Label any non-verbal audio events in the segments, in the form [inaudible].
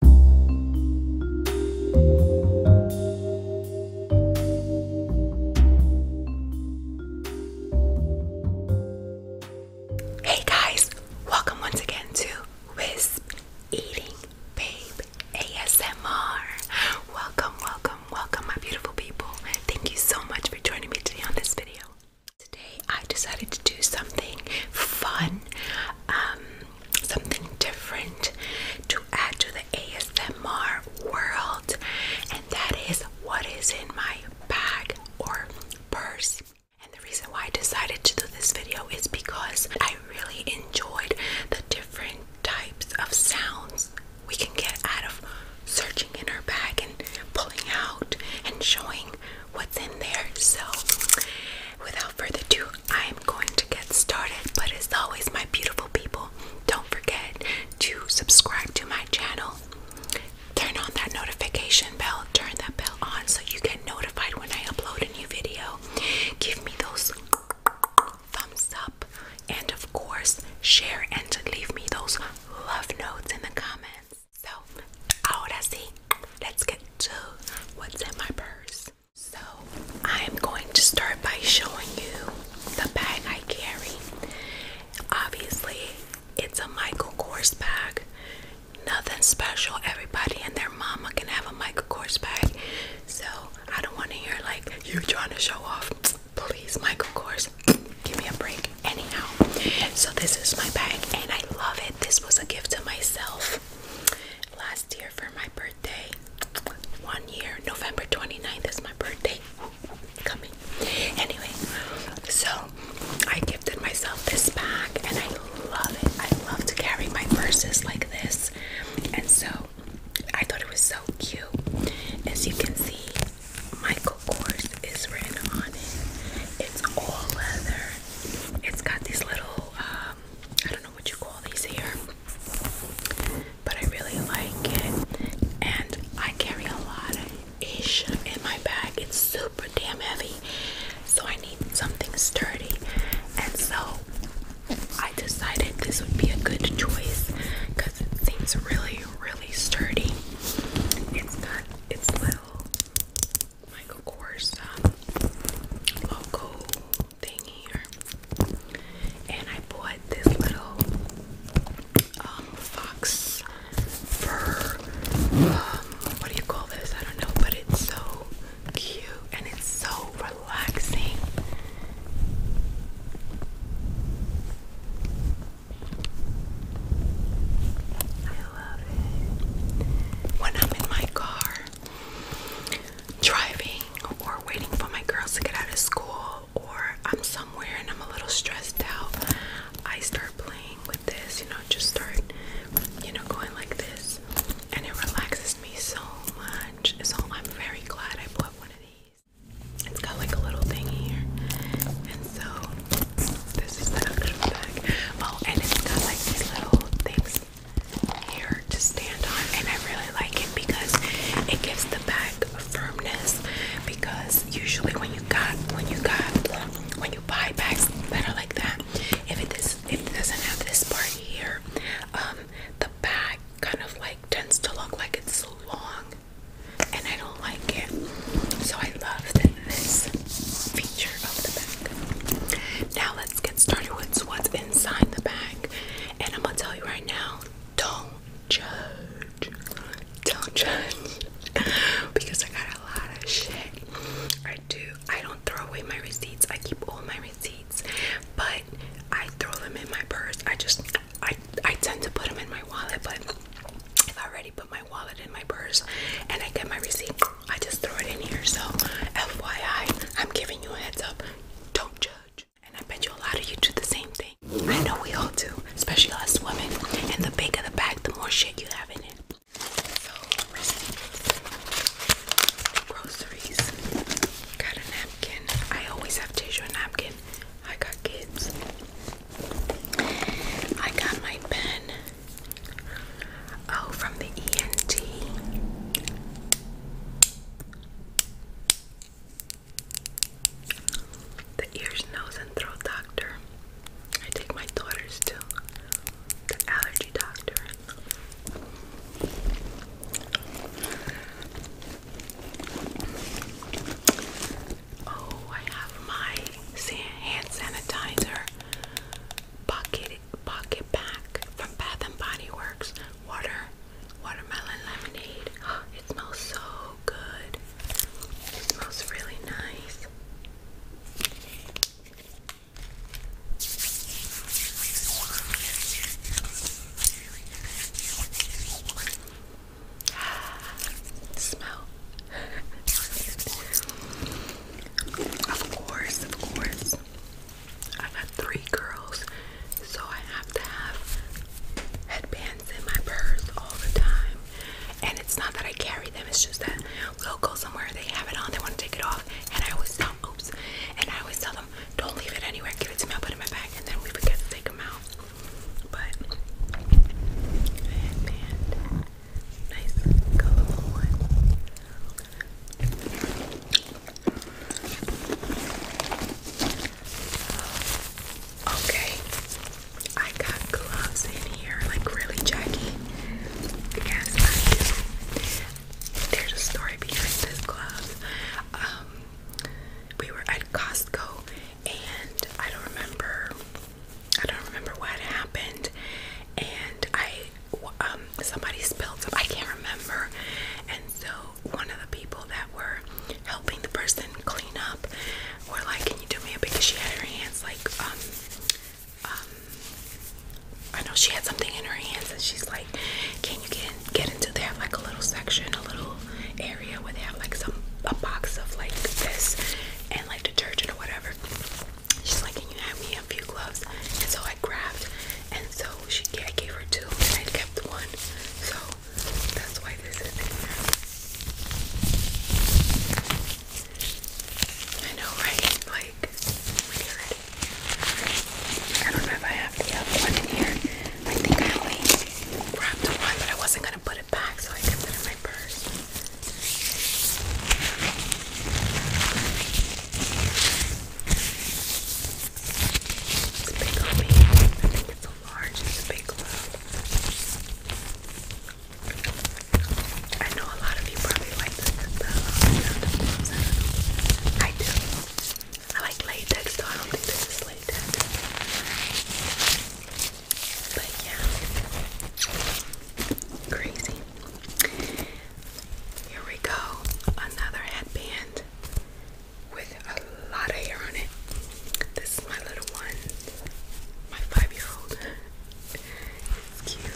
Hey guys, welcome once again to Wisp Eating Babe ASMR. Welcome, welcome, welcome, my beautiful people. Thank you so much for joining me today on this video. Today I decided to do something fun. Um, something different to add to the ASMR world, and that is what is in my bag or purse. And the reason why I decided to do this video is because I really enjoyed the different types of sounds we can get out of searching in our bag and pulling out and showing what's in there. So, without further ado, I am going to get started. But as always, my beautiful people, don't forget to subscribe to my channel. Turn on that notification bell, turn that bell on so you get notified when I upload a new video. Give me those thumbs up, and of course, share and leave me those love notes in the comments. So, ahora sí, let's get to what's in my purse. So, I'm going to start by showing you the bag I carry. Obviously, it's a Michael Kors bag. Nothing special. Everybody and their mama can have a Michael Kors bag. So, I don't want to hear like you trying to show off. Please, Michael Kors, [clears throat] give me a break. Anyhow, so this is my bag and I love it. This was a gift to myself. Last year for my birthday, one year, November 29th is my birthday coming. Anyway, so I gifted myself this bag and I love it. I love to carry my purses like this. And so I thought it was so cute. As you can see, Michael Kors is written on it. It's all leather. It's got these little um, I don't know what you call these here, but I really like it. And I carry a lot of ish in my bag. It's super damn heavy, so I need something sturdy. And so I decided this would be a good choice because it seems really, really sturdy. It's got its little Michael Kors um, logo thing here, and I bought this little um, fox fur. Um, what do you call this? I don't know, but it's so cute and it's so relaxing. When I'm in my car driving or waiting for my girls to get out of school or I'm somewhere and I'm a little stressed out, I start playing with this, you know, just start, you know, going like this. And it relaxes me so much. So I'm very glad I bought one of these. It's got like a little thing here. And so this is the actual bag. Oh, and it's got like these little things here to stand on, and I really like it because it gives the bag firmness. Because usually when you got when you got when you buy bags that are like that, if it is if it doesn't have this part here, um, the bag kind of like tends to look like it's long, and I don't like it. So I love this this feature of the bag. Now let's get started with what's inside the bag. And I'm gonna tell you right now, don't judge. Don't judge. [laughs] because I got a lot of shit. I do. I don't throw away my receipts. I keep all my receipts, but I throw them in my purse. I just I I tend to put them in my wallet, but if I already put my wallet in my purse and I get my receipt, I just threw it in here, so FYI, I'm giving you a heads up. Don't judge. And I bet you a lot of you do the same thing. I know we all do, especially us women. And the bigger the bag, the more shit you have in it. So, groceries, got a napkin. I always have tissue and napkin. I got kids. I got my pen. Oh, from the ENT. The ears, nose, and throat doctor. I take my daughters to the allergy doctor. Oh, I have my hand sanitizer Pocket pocket pack from Bath and Body Works. Water, watermelon lemonade. [gasps] It smells so good. It smells really nice. [sighs] Smell of course, of course. I've got three girls, so I have to have headbands in my purse all the time. And it's not that I carry them, it's just that we'll go somewhere, they have it on, they want to take it off, and I always tell oops, and I always tell them, don't leave it anywhere, give it to me, put it in my bag, and then we forget to take them out. But, headband nice colorful one. Okay, I got gloves in here, like really Jackie. Yes, I do. There's a story behind this gloves. Um, we were at Costco and I don't remember. I don't remember what happened, and I um somebody spilled some. I can't remember, and so one of the people that were helping the person clean up were like, "Can you do me a?" Because she had her hands like um um. I know she had something in her hands, and she's like, "Can you get get into there like a little section, a little area where they have like some a box of like this and like detergent whatever. She's like, Can you have me a few gloves? And so I grabbed, and so she I gave her two, and I kept one. So that's why this is in I know, right? Like, I don't know if I have the other one in here. I think I only grabbed one, but I wasn't gonna put back so I can put in my purse. It's big on I think it's so large. It's a big glove. I know a lot of you probably like the I do. I like latex, though. I don't think this is latex. But yeah, crazy. Here we go, another headband with a lot of hair on it. This is my little one, my five-year-old. It's cute.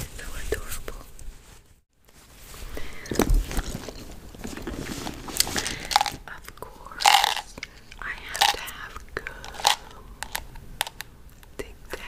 It's so adorable. Of course, I have to have gum. Tic Tac.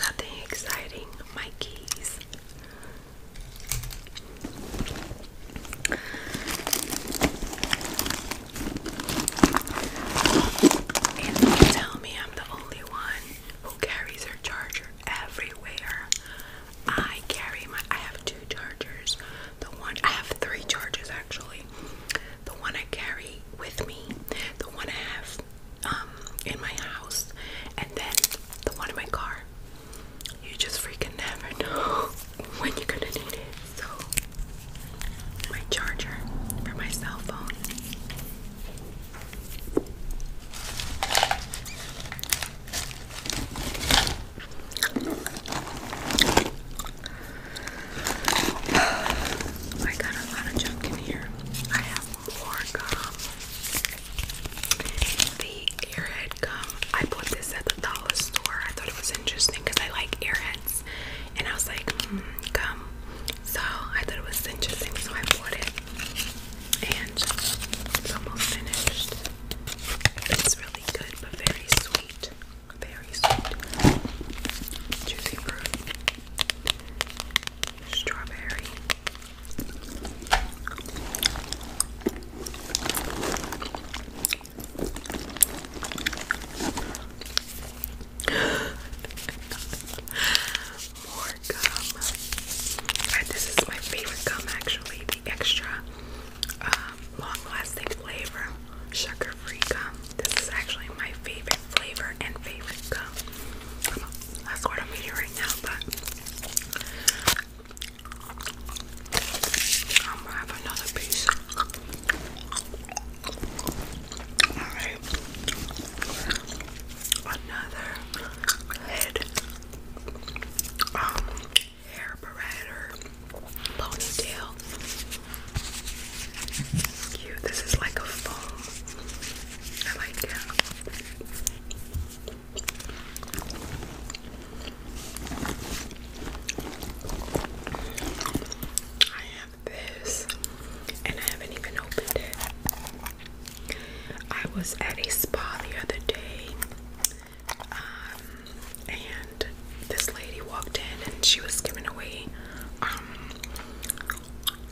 Nothing exciting. My keys. And you tell me I'm the only one who carries her charger everywhere. I carry my I have two chargers. The one I have three chargers actually the one I carry with me, the one I have um, in my house, and then the one in my car. You just freaking never know [laughs] when you're gonna need it. So, my charger for my cell phone. I got a lot of junk in here. I have more gum. The airhead gum. I bought this at the dollar store. I thought it was interesting because I like airheads. And I was like, mm, gum. So I thought it was interesting, so I bought it. And it's almost finished. It's really good, but very sweet. Very sweet. Juicy fruit strawberry. [gasps] More gum. Right, uh, this is my favorite gum, actually. The extra um, long-lasting flavor, sugar free gum. This is actually my favorite flavor and favorite gum. That's what I'm eating right now, but I'm gonna have another piece. Alright. Another head um hair barrette ponytail. Cute. This is like a foam. I like it. I have this, and I haven't even opened it. I was at a spa the other day, um, and this lady walked in and she was giving away um,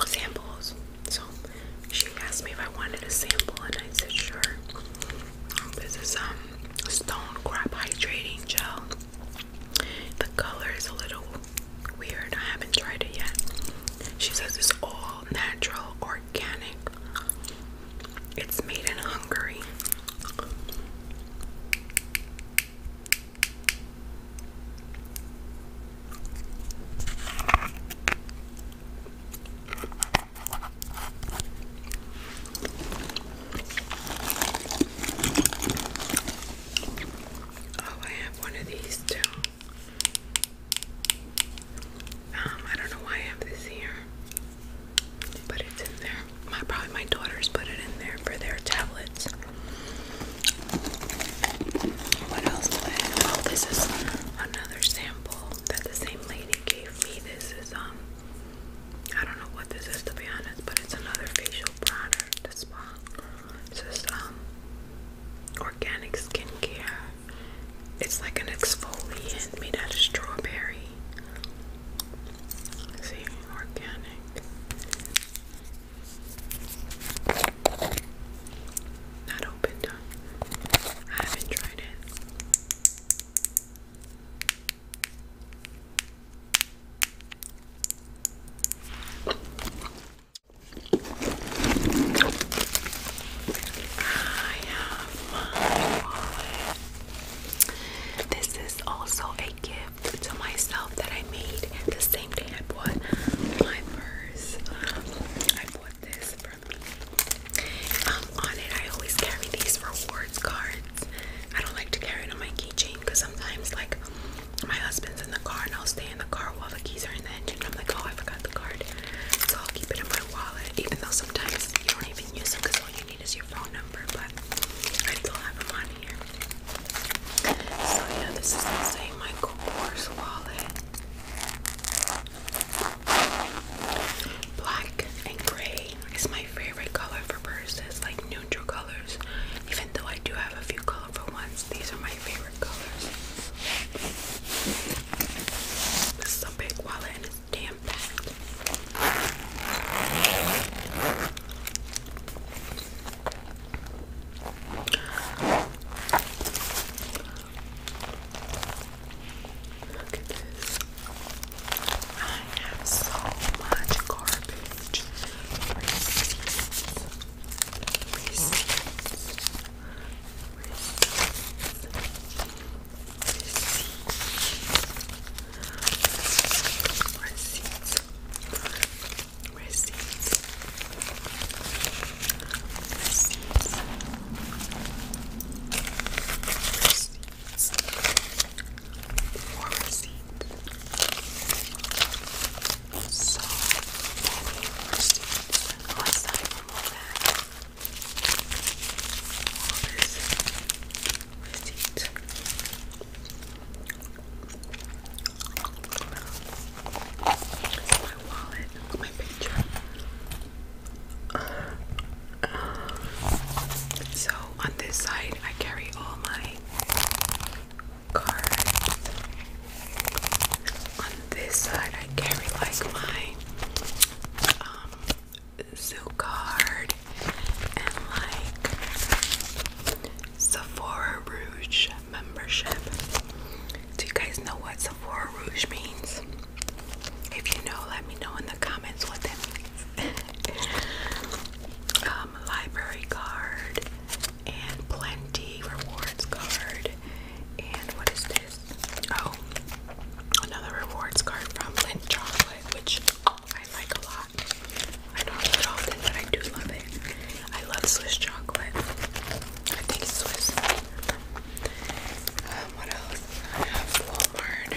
samples. So she asked me if I wanted a sample and I said sure. Um, this is um stone crop hydrating gel. The color is a little weird. I haven't tried it yet. She says it's all natural, organic. It's made in Hungary. Oh, I have one of these too. Um, I don't know why I have this here, but it's in there. My probably my daughters put it in there for their tablets. What else Oh, this is another sample that the same lady gave me. This is um I don't know what this is to be honest, but it's another facial product. This spa. Uh, this is um organic skincare. It's like an exfoliant made out of strawberry. see, organic. Not opened I haven't tried it. I have my wallet. This is also a gift to myself that I made the same day I bought my purse. Um, I bought this from me. Um, on it, I always carry these rewards cards. I don't like to carry it on my keychain because sometimes, like, my husband's in the car and I'll stay in the car while the keys are in the engine. I'm like, oh, I forgot the card. So I'll keep it in my wallet, even though sometimes you don't even use them because all you I need is your phone number, but I still have them on here. So yeah, this is the same Michael Kors wallet. Black and gray is my favorite color for purses, like neutral colors. Even though I do have a few colorful ones, these are my favorite colors. This is a big wallet and it's damn packed. Look at this. I have so much garbage. Receipts. Receipts. Receipts. Receipts. Receipts. Receipts. Receipts. Receipts. More receipts. So many receipts. Let's dive from all that. All this. So on this side, I carry all my cards. On this side, I carry like my um, Zoo Card and like Sephora Rouge membership. Do you guys know what Sephora Rouge means? If you know, let me know in the comments what that means. [laughs] Um, library card and plenty rewards card. And what is this? Oh, another rewards card from Lindt Chocolate, which I like a lot. I don't have often, but I do love it. I love Swiss chocolate. I think it's Swiss. Um, what else? I have Walmart.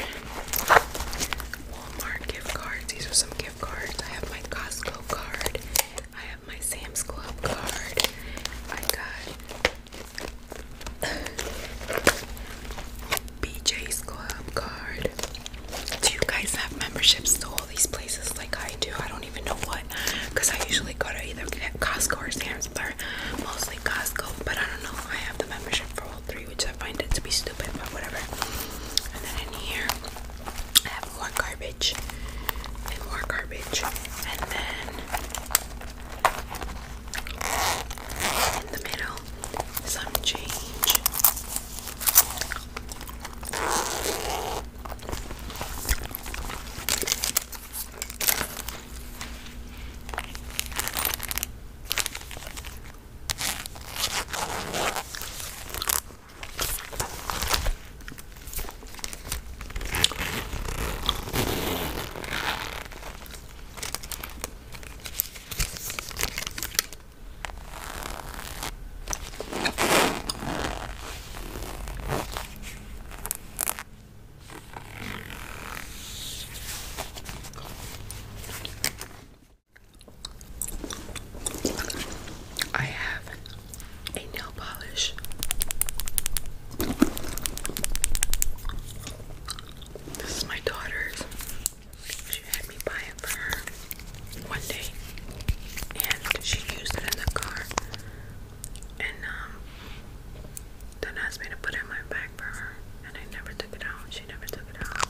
Walmart gift cards. These are some gift cards. I have my Costco card. I have my Sam's Club card. I got BJ's Club card. Do you guys have memberships to all these places like I do? I don't even know what, because I usually go to either Costco or Sam's Club, mostly Costco, but I don't know. I have the membership for all three, which I find it to be stupid, but whatever. And then in here, I have more garbage and more garbage, and then in the middle, some change. I have a nail polish. This is my daughter's. She had me buy it for her one day, and she used it in the car. And um, then asked me to put it in my bag for her, and I never took it out. She never took it out.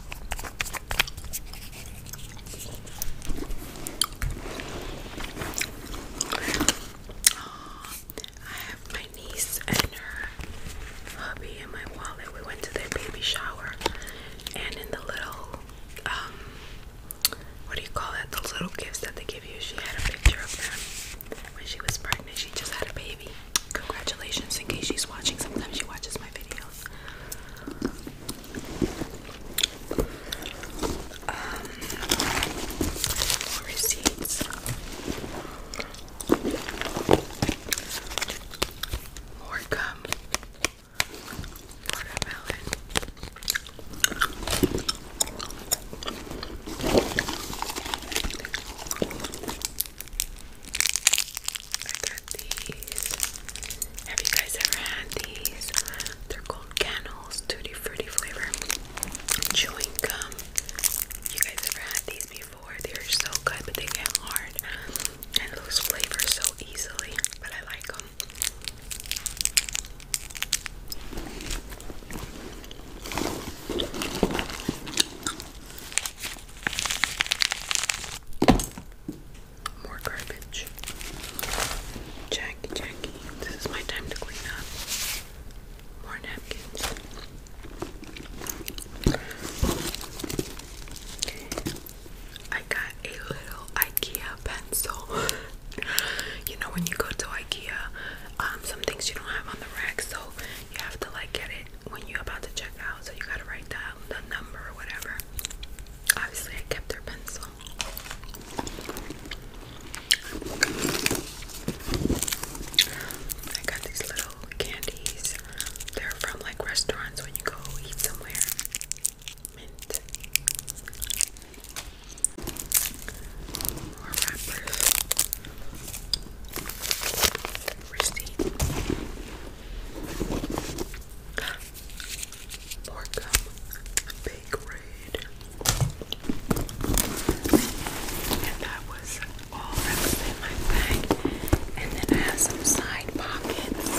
I have my niece and her hubby and my wallet. We went to their baby shower, and in the little, um, what do you call it? Those little gifts that they give you. She had a picture of them when she was pregnant. She just had a baby. Congratulations! In case she's watching, sometimes she watches my videos. Um, receipts. More gum. Watermelon. Have you guys ever had these? They're called Cannels Tutti Fruity Flavor Chewing Gum. You guys ever had these before? They're so good, but they get hard and lose flavor so easily. But I like them. More garbage. Jackie, Jackie, this is my time to clean up. More napkins. I got a little IKEA pencil. you know when you go to IKEA, um, some things you don't have on the rack, so you have to like get it when you're about to check out. So you gotta write down the number or whatever. Obviously, I kept her pencil. I got these little candies. They're from like restaurants when you go eat somewhere. Mint. More wrappers. Receipt. More gum. Big And that was all that my bag, and then I have some side pockets,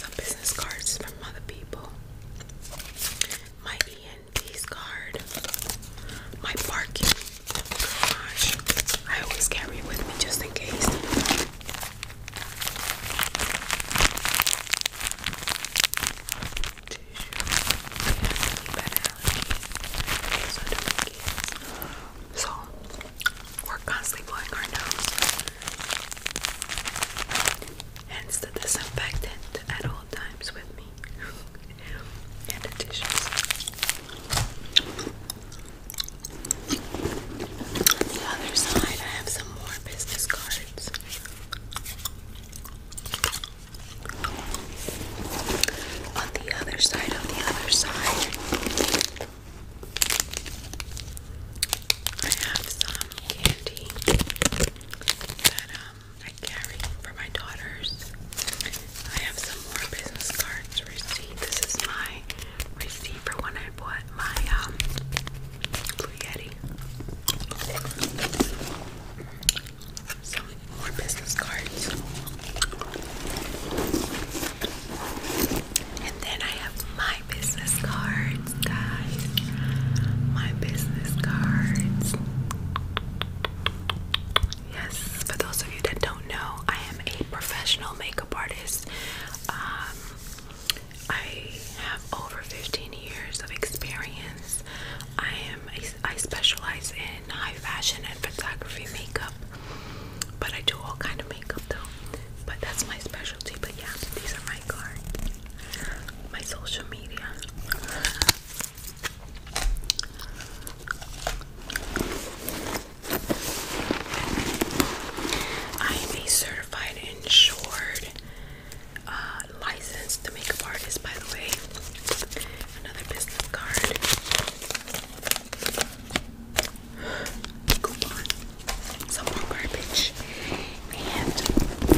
some business cards from other people. My ENT's card, my parking garage. I always carry it with me just in case tissue and So we're constantly blowing our nose. Hence the disinfectant at all times with me. and tissues. The other side I have some more business cards. On the other side, on the other side, I have some candy that um, I carry for my daughters. I have some more business cards receipt. This is my receipt for when I bought my um some more business cards. And then I have my business cards, guys. My business cards. Yes, for those of you that don't know, I am a professional makeup artist. Um, I have over 15 years of experience. I am a, I specialize in high fashion and photography makeup, but I do all kind of makeup though. But that's my specialty. But yeah, these are my cards, my social media. I am a certified insured uh, licensed makeup artist, by the way. Another business card. Coupon. Some more garbage. And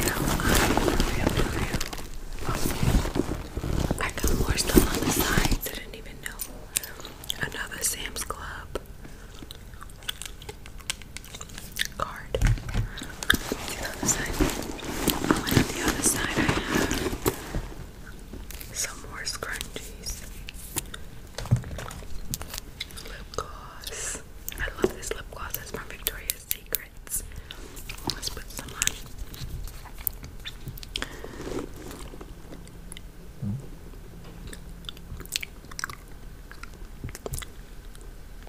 now I'm real, real. I got more stuff on the sides. I didn't even know. Another Sam's Club card. on the other side, I have some more scrunchies. Lip gloss. I love this lip gloss. It's from Victoria's Secrets. Let's put some on.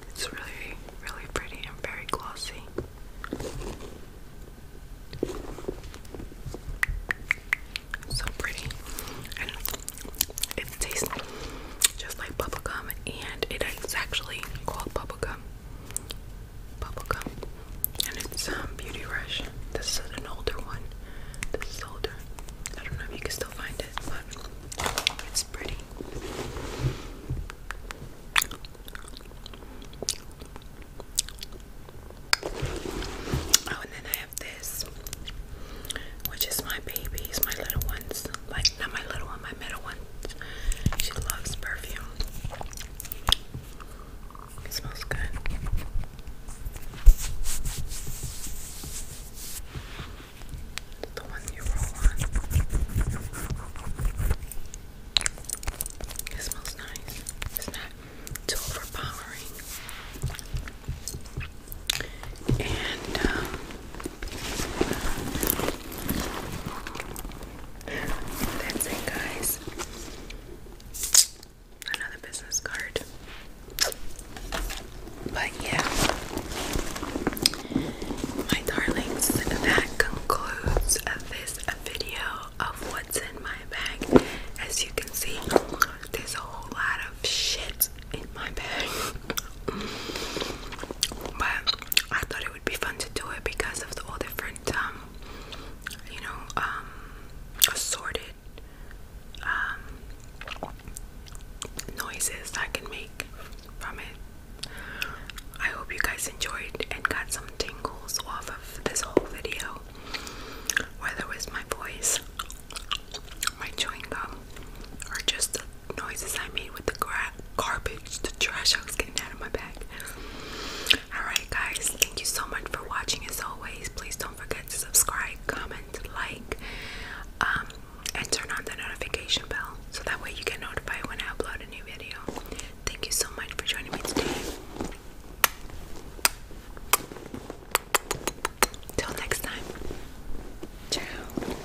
It's really, really pretty and very glossy. So pretty. And it tastes just like bubblegum and it is actually called bubblegum. Bubblegum. And it's um Beauty Rush. This is an older one. This is older. I don't know if you can still find it, but Oh, and then I have this, which is my baby's, my little ones. Like, not my little one, my middle one. She loves perfume. smells good the one you roll on. It smells nice. It's not too overpowering. And um, that's it, guys. Another business card. But yeah, my darlings, that concludes this video of what's in my bag. As you can see, there's a whole lot of shit in my bag. but I thought it would be fun to do it because of all different, um, you know, um, assorted um, noises I can make from it. I hope you guys enjoyed and got some tingles off of this whole video, whether it was my voice, my chewing gum, or just the noises I made with the garbage, the trash I was getting out of my bag. Alright, guys, thank you so much for watching. As always, please don't forget to subscribe, comment, like. Um, and turn on the notification bell so that way you get notified when I upload a new video. Thank you so much for joining me today. Till next time. Ciao.